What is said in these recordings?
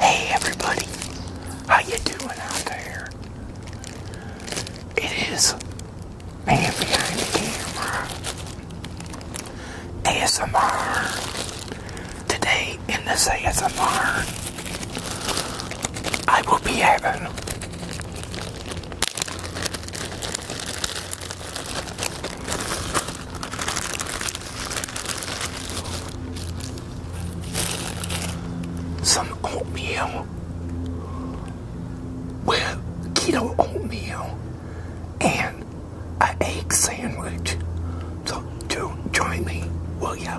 Hey everybody, how you doing out there? It is man behind the camera. ASMR. Today in the ASMR, I will be having some oatmeal with keto oatmeal and an egg sandwich. So do join me, will ya?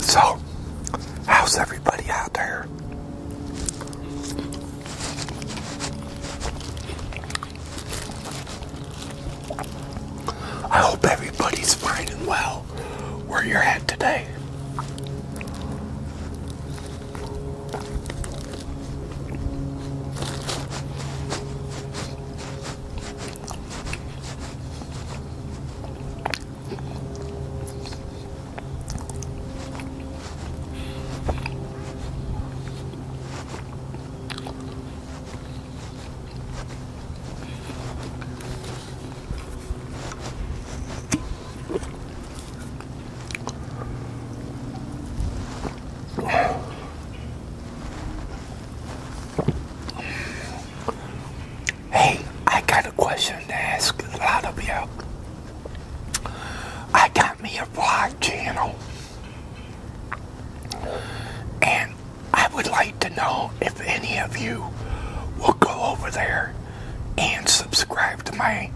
So, how's everybody out there? I hope everybody's fine and well where you're at today. Hey, I got a question to ask a lot of you. all I got me a vlog channel. And I would like to know if any of you will go over there and subscribe to my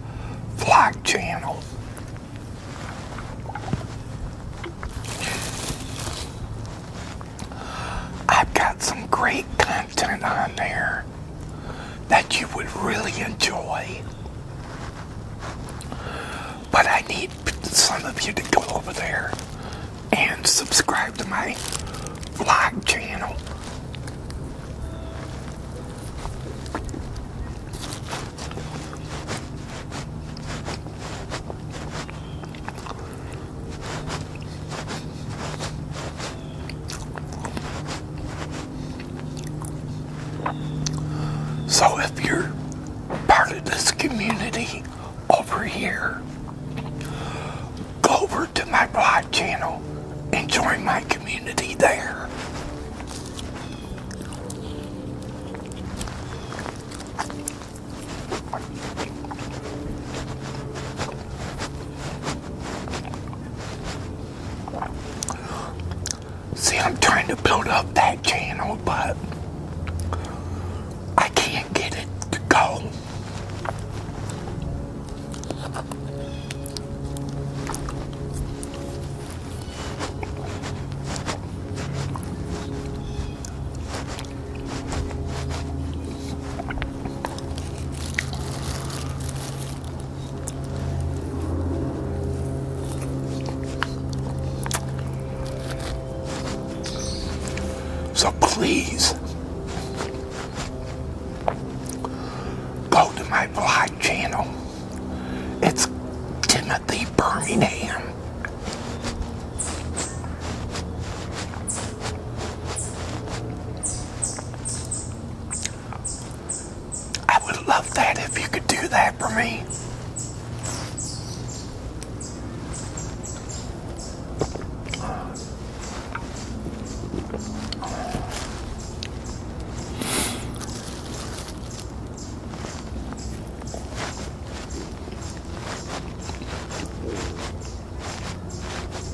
vlog channel. I've got some great content on there that you would really enjoy. But I need some of you to go over there and subscribe to my vlog channel. So if you're part of this community over here, go over to my blog channel and join my community there. See, I'm trying to build up that channel, but I can't get it to go. So please go to my vlog channel. It's Timothy Birmingham. I would love that if you could do that for me.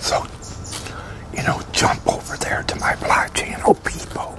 So, you know, jump over there to my live channel, people.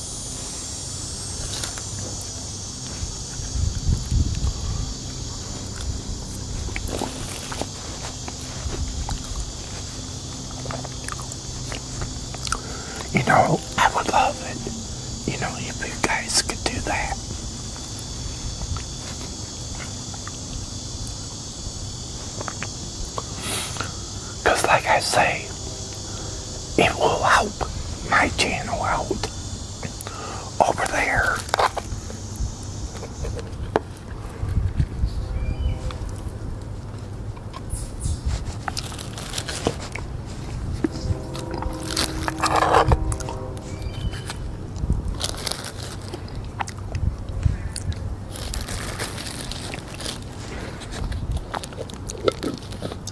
You know, I would love it, you know, if you guys could do that. Because, like I say, it will help my channel out over there.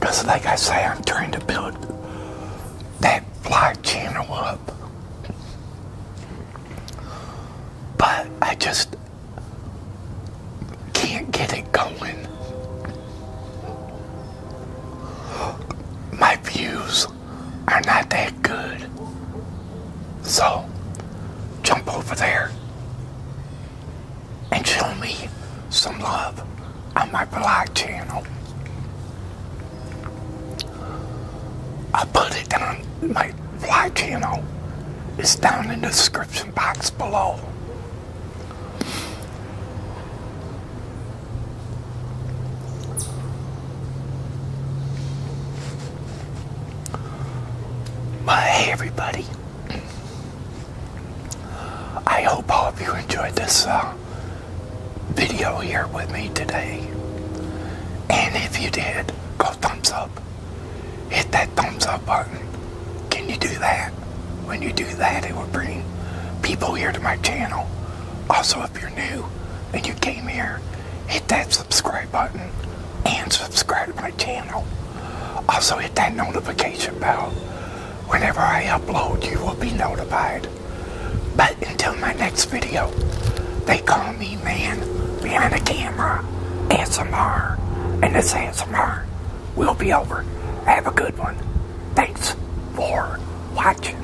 Because, like I say, I'm trying to build that fly channel up. But I just can't get it going. My views are not that good. So, jump over there and show me some love on my blog channel. I put it on my blog channel. It's down in the description box below. Well, hey, everybody. I hope all of you enjoyed this uh, video here with me today. And if you did, go thumbs up. Hit that thumbs up button. Can you do that? When you do that, it will bring people here to my channel. Also, if you're new and you came here, hit that subscribe button and subscribe to my channel. Also hit that notification bell. Whenever I upload, you will be notified. But until my next video, they call me man behind the camera, ASMR, and this ASMR will be over. Have a good one. Thanks for watching.